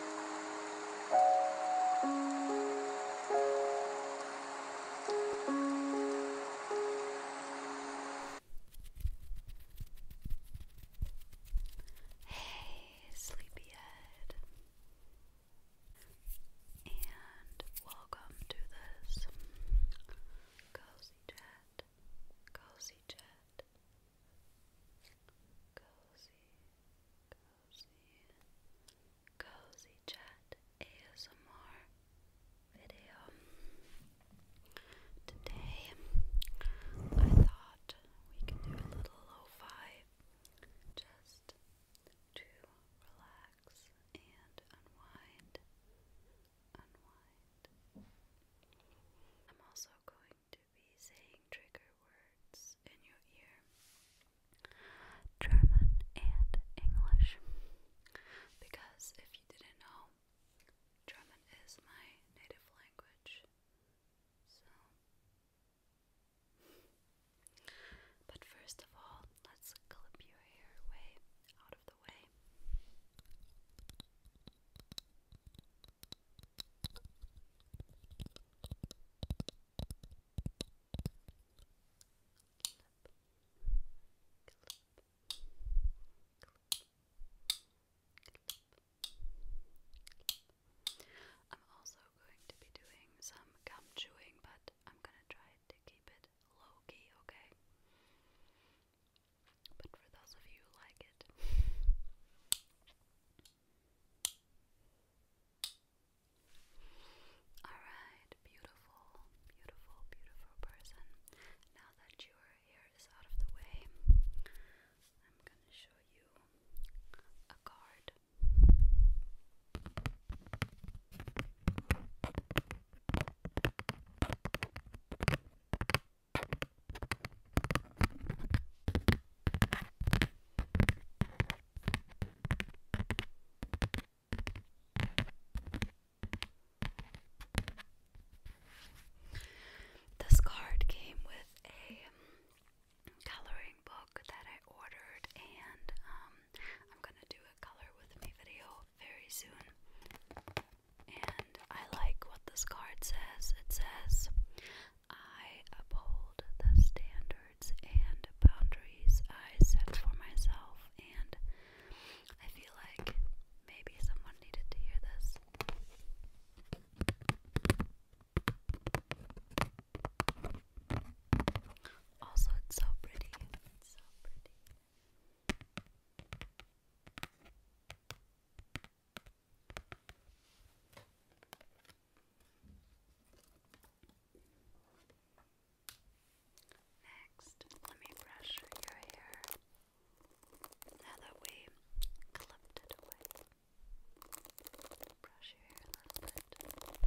Hey, sleepyhead, and welcome to this cozy chat, cozy chat, cozy cozy, cozy chat ASMR video. Today, I thought we could do a little lo just to relax and unwind. Unwind. I'm also going to be saying trigger words in your ear German and English. Because if you didn't know, German is my native language. So. But first of all, let's clip your hair away out of the way. I'm also going to be doing some gum chewing, but I'm gonna try to keep it low key, okay? But for those of you who like it, Alright, beautiful, beautiful, beautiful person. Now that your hair is out of the way, I'm gonna show you a card. This card came with a coloring book that I ordered, and um, I'm gonna do a color with me video very soon. I like what this card says. It says, I uphold the standards and boundaries I set for myself, and I feel like maybe someone needed to hear this. Also, it's so pretty. It's so pretty. Next, let me brush your hair now that we clipped it away. Brush your hair a little bit.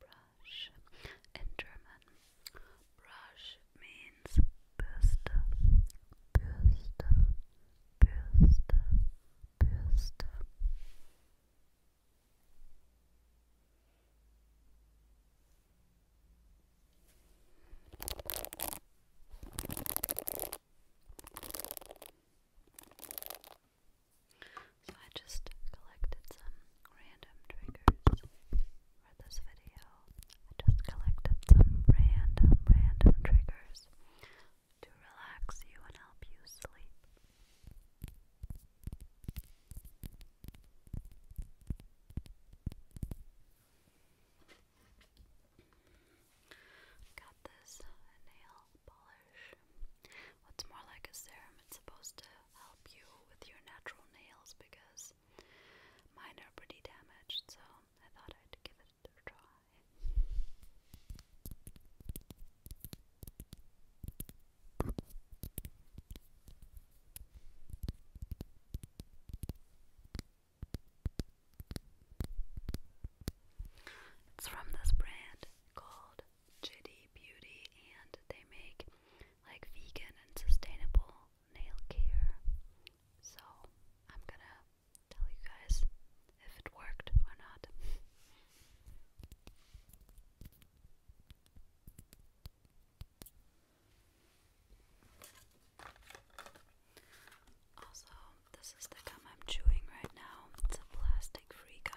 brush. In German, brush means Bürste, Bürste, Bürste, Bürste. Brush, brush, so I just collected some random triggers for this video. I just collected some random, random triggers to relax you and help you sleep. Got this nail polish. What's more like a serum? It's supposed to help you with your natural nails because mine are pretty damaged, so I thought I'd give it a try. It's from this brand called Chitty Beauty, and they make like vegan and sustainable nail care. So I'm gonna tell you guys if it worked or not. Also, this is the gum I'm chewing right now. It's a plastic free gum.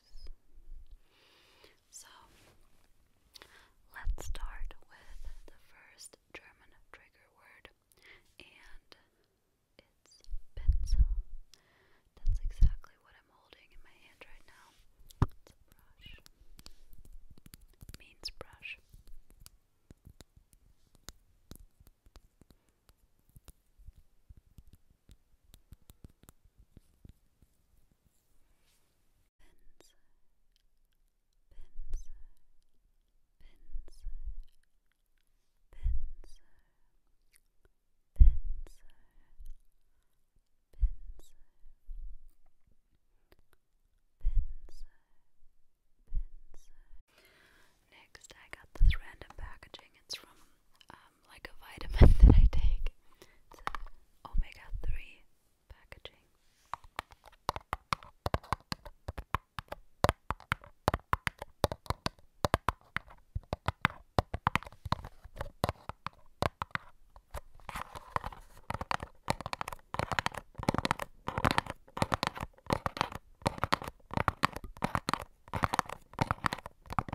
So let's start with the first German trigger word, and it's pencil. That's exactly what I'm holding in my hand right now. It's a brush. means brush. Pinsir, pinsir, pinsir, pinsir, pinsir, pinsir, pinsir, pinsir. Next, I got this random packaging. It's from uh, um, like a vitamin that I take. It's omega 3 packaging. Brush, brush,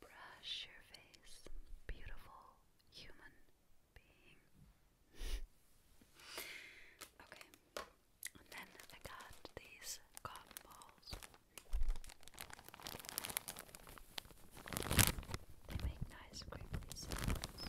brush your face, beautiful human being. okay. And then I got these cotton balls. They make nice crinkly sounds.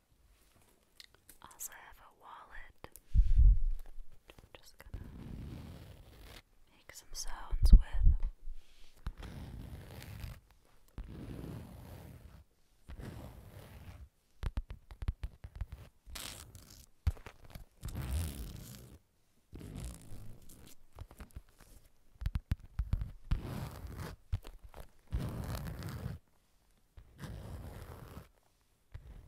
Also have a wallet. just gonna make some sounds with. Another trigger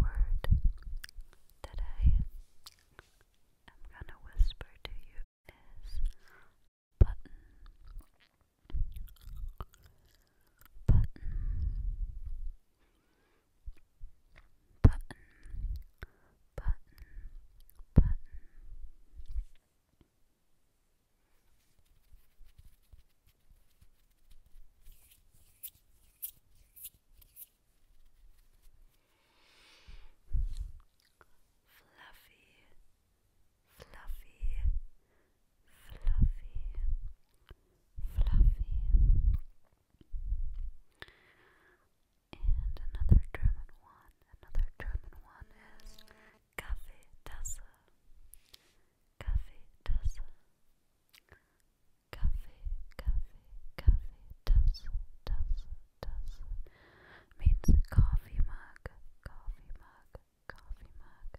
word that I am gonna whisper to you is button, button, button, button, button fluffy, fluffy, fluffy, fluffy. And another German one, another German one is Kaffee Tasse, Kaffee Tasse, Kaffee, Kaffee, Kaffee Tasse, Tasse, does means coffee mug, coffee mug, coffee mug.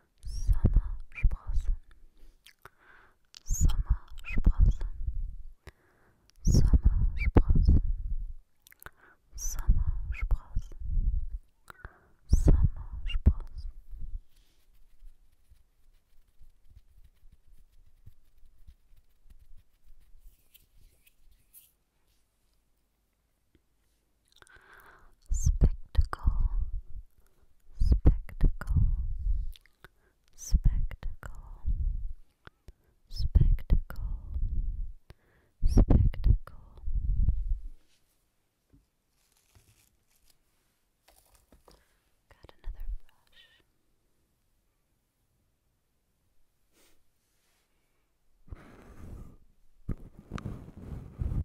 Sommersprossen, Sommersprossen, Sommersprossen, Sommersprossen, Sommersprossen. Spectacle, spectacle, spectacle, spectacle, spectacle. Got another brush.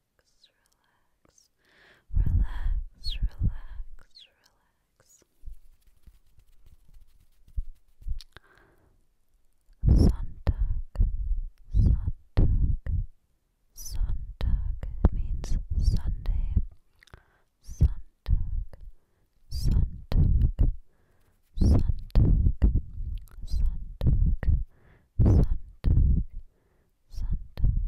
relax, relax, relax, relax. Sonntag, Sonntag, Sonntag it means Sunday. Sonntag, Sonntag, Sonntag, Sonntag, Sonntag, Sonntag,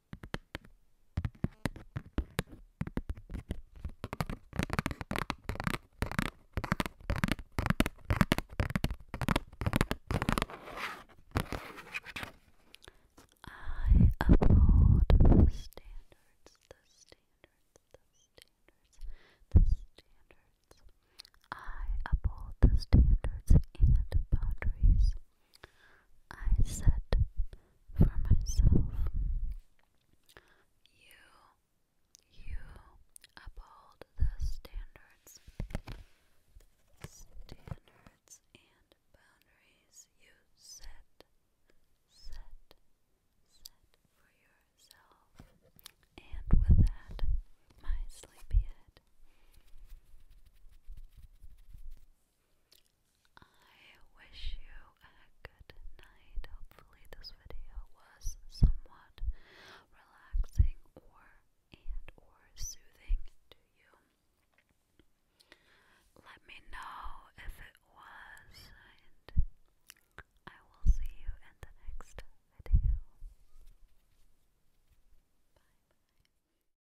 I uphold the standards, the standards, the standards, the standards. I uphold the standards and boundaries I said for myself. You, you uphold the standards, standards and boundaries you set, set, set for yourself. And with that, my sleepyhead. I wish you a good night. Hopefully, this video was somewhat relaxing or and or soothing to you. Let me know if it was, and I will see you in the next video. Bye